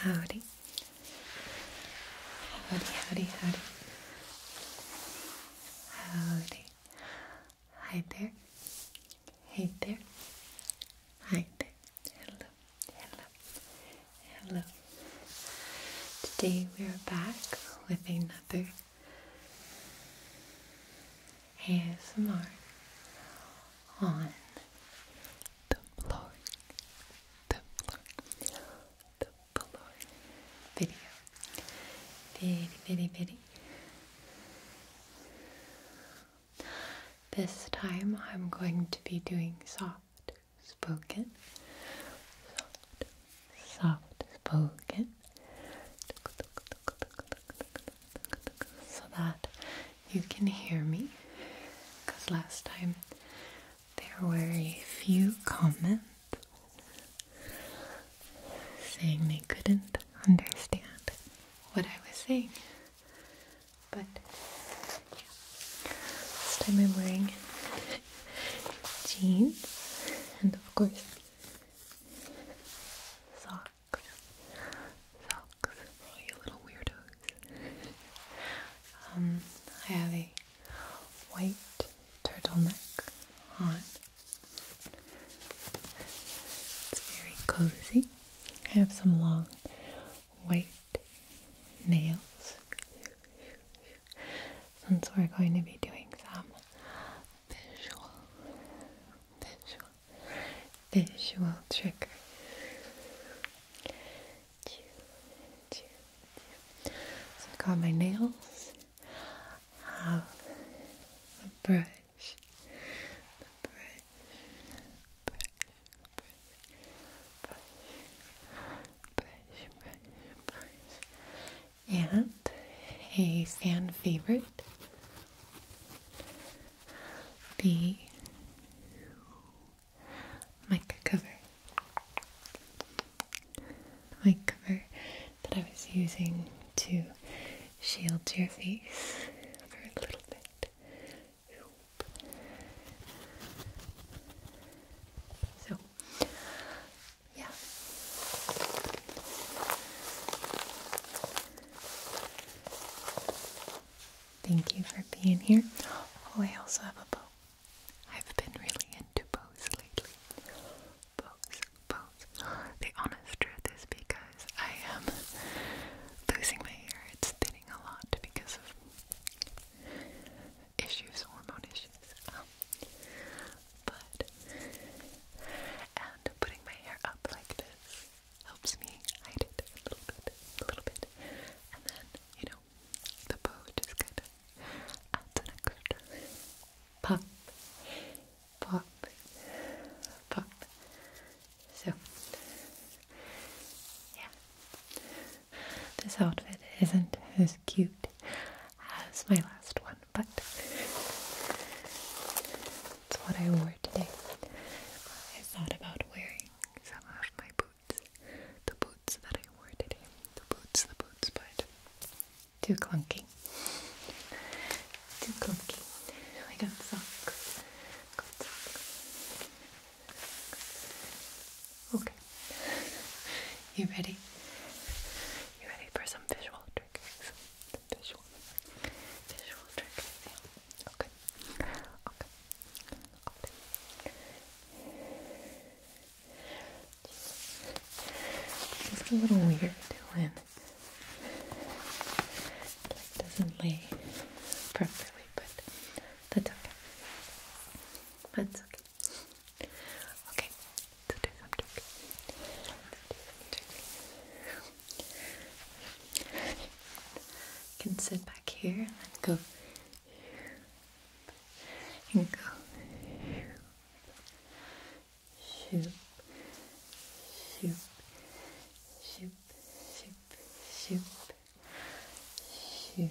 Howdy. Howdy, howdy, howdy. Howdy. Hi there. Hey there. Hi there. Hello. Hello. Hello. Today we are back with another ASMR on the blowing below, below video. Very, very, very. This time I'm going to be doing soft spoken, soft, soft spoken, so that you can hear me because last time there were a few comments saying they couldn't understand what I was saying. But This time I'm wearing jeans and of course socks. Socks. you little weirdos. Um, I have a white turtleneck on. It's very cozy. I have some long white nails. Since we're going to be doing some visual, visual, visual trigger. Chew, chew, chew. So I got my nails. a the brush. brush. Brush, brush, brush, brush, brush, and a fan favorite, the mic cover mic cover that I was using to shield your face for a little bit so yeah Thank you for being here. Oh, I also have a bow. I've been really into bows lately. Bows, bows. The honest truth is because I am losing my hair. It's thinning a lot because of issues, hormone issues. Um, but, and putting my hair up like this helps me hide it a little bit, a little bit. And then, you know, the bow just kind of adds an extra pop, pop, pop. So, yeah, this outfit isn't as cute as my last one, but it's what I wore today. I thought about wearing some of my boots. The boots that I wore today. The boots, the boots, but too clunky. Too clunky. I got socks. Okay. You ready? You ready for some visual triggers? visual, visual triggers. Okay. Okay. It's a little weird when doesn't lay properly, but that's okay. That's okay. Okay, can sit back here and go and go. Shoop, shoop, shoop, shoop, shoop, shoop. Shoop, shoop,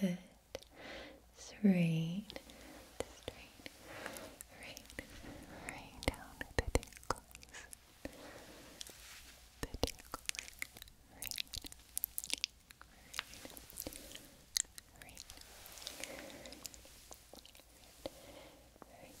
Good. Straight. Straight. Right. Right down the tinkles. The tinkles. Right. Right. Right. Right. Right.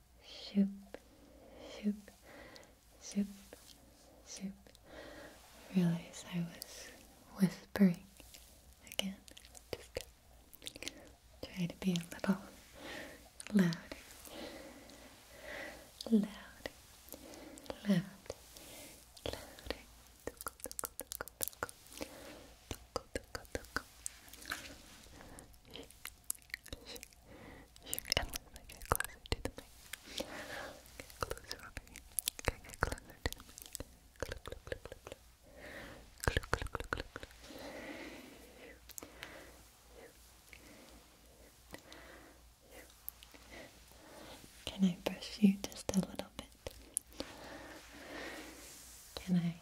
shoop, shoop, shoop, shoop. I realize I was whispering again. Just try to be a little louder, louder, louder, louder can I get closer to the mic. closer over here. get closer to the mic. Click, click, click, click, click. Click, click, click, click, Can I brush you just a little bit? Can I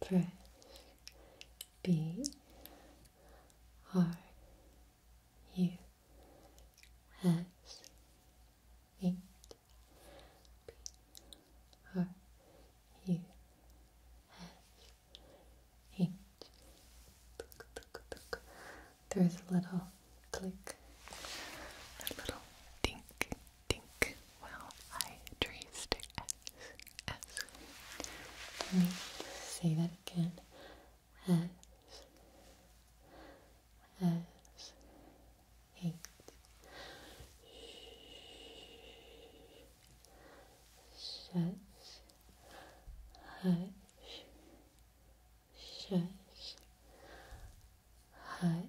press B R U S eight B R U S eight. There's a little click, a little dink, dink. Well, I traced it let me say that again. S. Shush. Hush. Shush. Hush.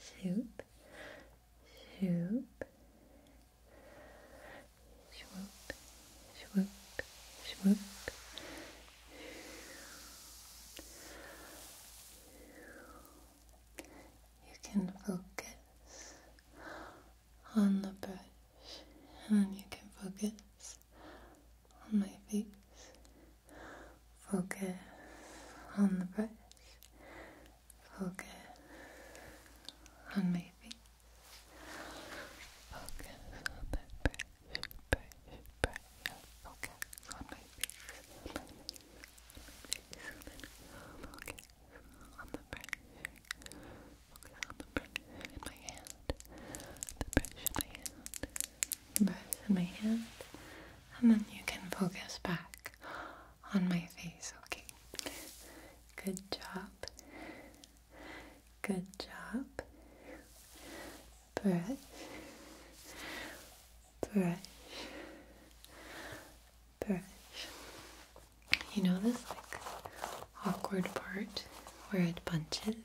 Shoop, shoop, swoop, swoop, swoop. You can focus on the brush, and you can focus on my face. Focus on the brush. Focus on my face. Focus on that brush, brush, brush. Focus on my face. On my face. Focus on the brush. Focus on the brush in my hand. The brush in my hand. The brush in my hand. And then you can focus back on my face. Okay. Good job. Good job. Brush. Brush. Brush. You know this like awkward part where it bunches?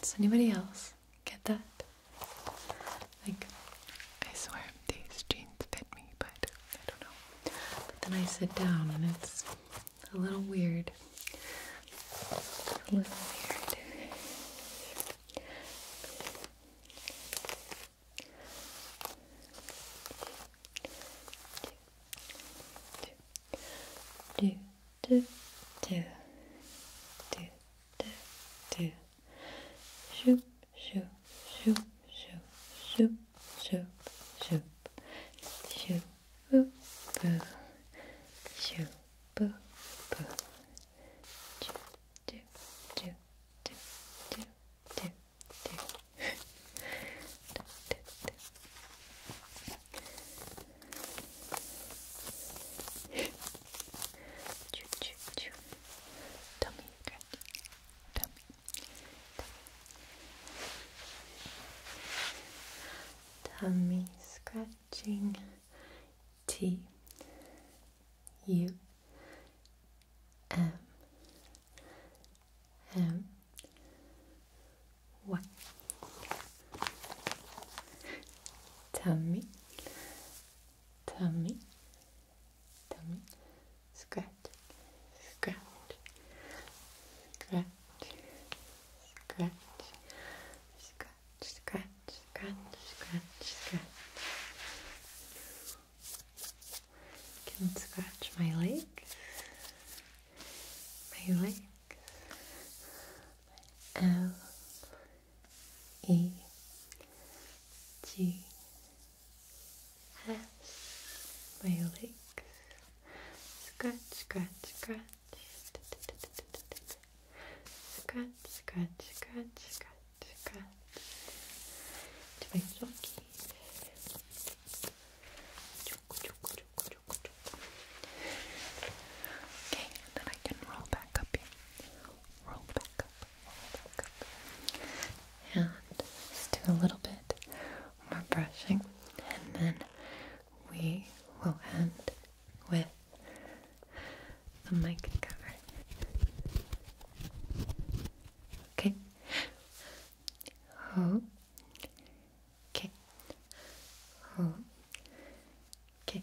Does anybody else Get that? Like, I swear these jeans fit me, but I don't know. But then I sit down and it's a little weird. A little weird. Do, do, do, do, do, do. Shoop, shoop, shoop, shoop, shoop, shoop, shoop, shoop, boo, boo, shoop, boo, boo, do, do, do, do, do, do, do, do, do, do. Choo choo choo. Tummy Tummy, Tell me. Tell me. Tummy scratching. T. U. M. M. Y. Tummy. Tummy tummy, scratch, scratch, scratch, scratch, scratch, scratch, scratch, scratch, scratch. I can scratch my legs, my legs, my elbows. E G S my legs scratch scratch scratch scratch scratch scratch scratch scratch to my flockies Okay, and then I can roll back up here. Roll back up up, and just do a little bit more brushing, and then we will end with the mic cover. Okay. Oh. Okay. Oh. Okay.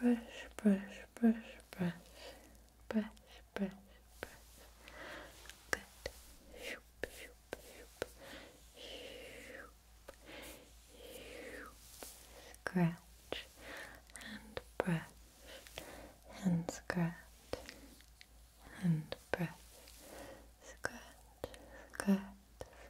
brush, brush, brush, brush, brush, brush, brush. Good. Shoop, shoop, shoop, shoop, shoop. Scratch and brush and scratch and brush. Scratch, scratch,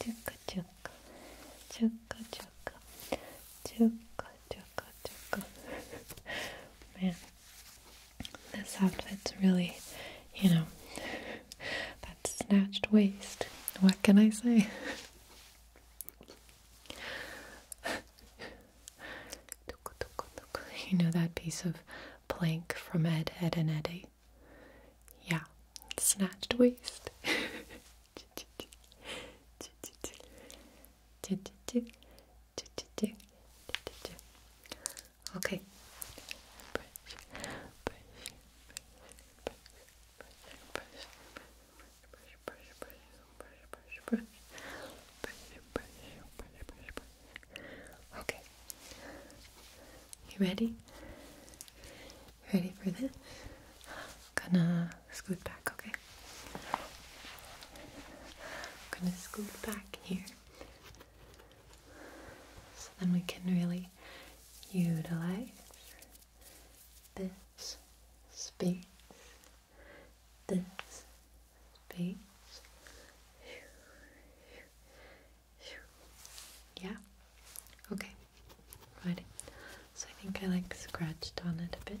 Chuka chuka, chuka chuka, chuka chuka Man, this outfit's really, you know, that snatched waist. What can I say? You know that piece of plank from Ed, Ed and Eddie? Yeah, snatched waist. Okay. Okay. You ready? Ready for this? gonna scoot back, okay? gonna scoot back here. So then we can really utilize this space. This space. Yeah. Okay. Right. So I think I like scratched on it a bit.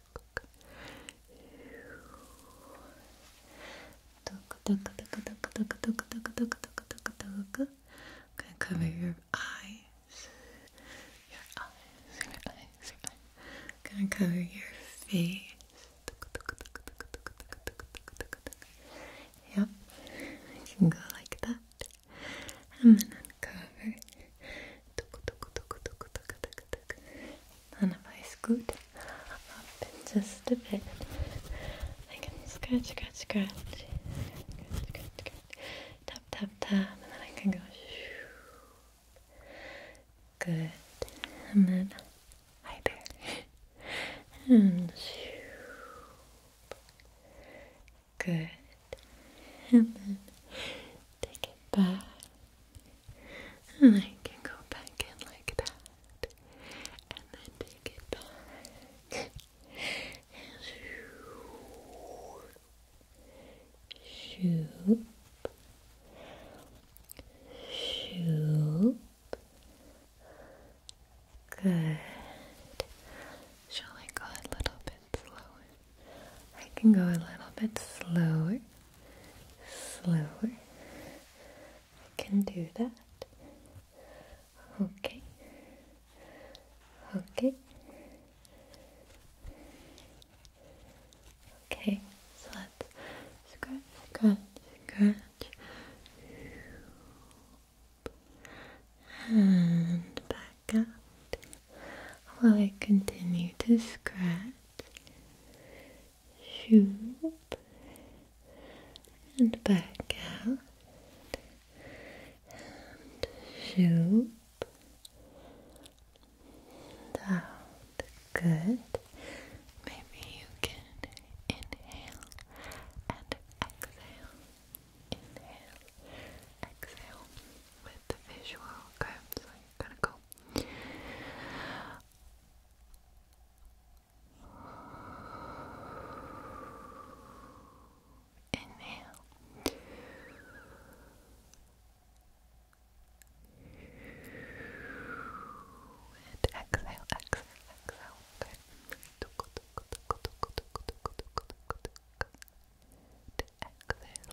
Okay, cover your eyes. Your eyes, your eyes, your eyes. Gonna cover your face. Yep, can go like that. And then uncover. And if I scoot up just a bit, I can scratch, scratch, scratch, scratch, scratch, scratch, tap, tap, tap, and then I can go. Good. And then hi and good. And then take it back. I can go back in like that, and then take it back. and shoop, shoop, good. Shall I go a little bit slower? I can go a little bit slower, slower. I can do that. Okay, okay, okay. So let's scratch, scratch, scratch. And back up while I continue to scratch shoop, and back out, and shoop, down, good, maybe you can inhale and exhale, inhale, exhale with the visual okay, so you're gonna go Inhale. And exhale, exhale, exhale. Okay. Exhale, exhale, exhale.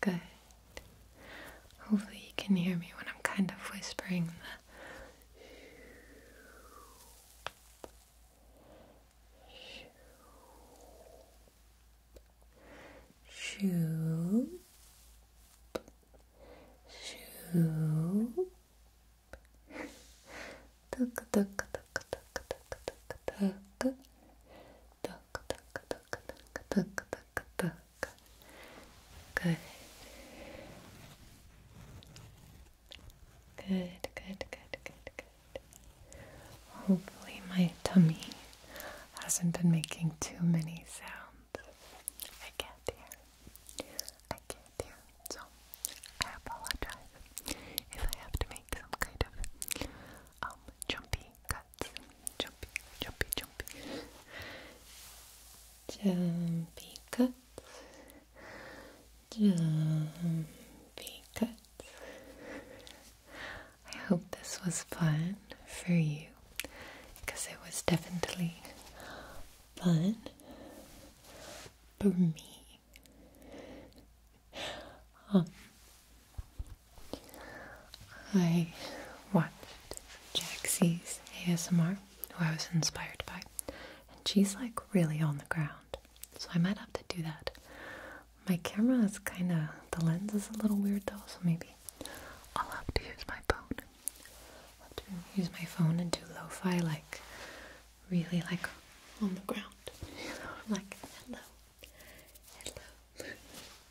Good. Hopefully, you can hear me when I'm kind of whispering the. Shoop, shoop, так так так так так так так так так так так так так так good good good good good hopefully my tummy hasn't been making too many sounds I can't hear I can't hear so, I apologize if I have to make some kind of um, jumpy cuts. Jumpy, jumpy, jumpy. Jumpy cuts. Jumpy cuts. I hope this was fun for you because it was definitely fun for me I watched Jaxie's ASMR, who I was inspired by, and she's like really on the ground, so I might have to do that. My camera is kind of, the lens is a little weird though, so maybe I'll have to use my phone. to use my phone and do low fi like really like on the ground. like, hello, hello.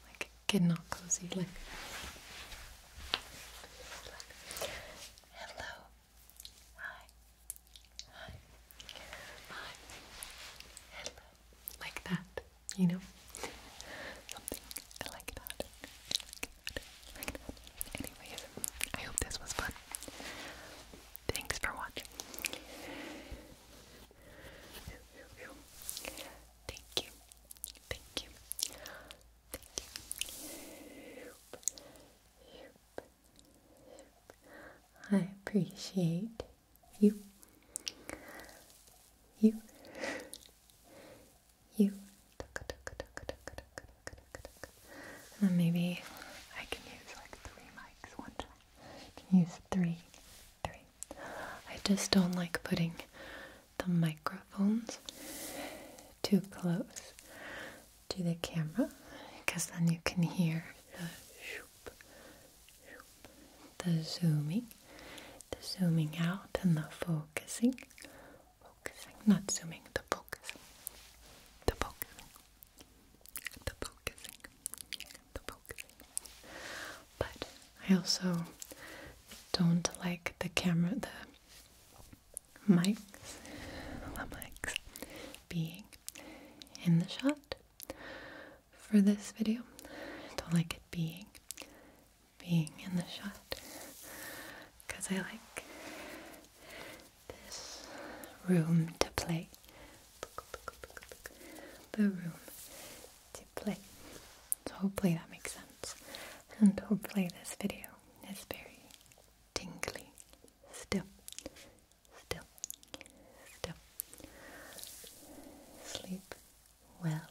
like, getting all cozy, like, hello, hi, hi, hi, hello. Like that, you know? Something like Like that. Like I hope this was fun. Thanks for watching. Thank you. Thank you. Thank you. I appreciate you. You. You then maybe I can use like three mics one time. I can use three, three. I just don't like putting the microphones too close to the camera because then you can hear the the zooming, the zooming out and the focusing, focusing, not zooming, the focusing, the focusing the focusing, the focusing. But I also don't like the camera, the mics, the mics being in the shot for this video. I don't like it being being in the shot because I like this room to play. The room to play. So hopefully that makes sense. And hopefully this video is very tingly. Still. Still. Still. Sleep well.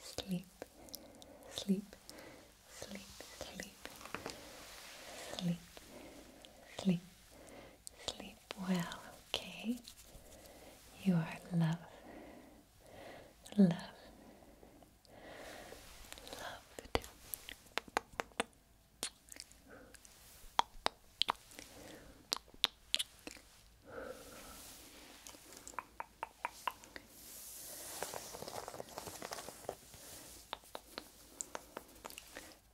Sleep. Sleep. Sleep. Sleep. Sleep. Sleep. Sleep well, okay? You are love, loved, loved.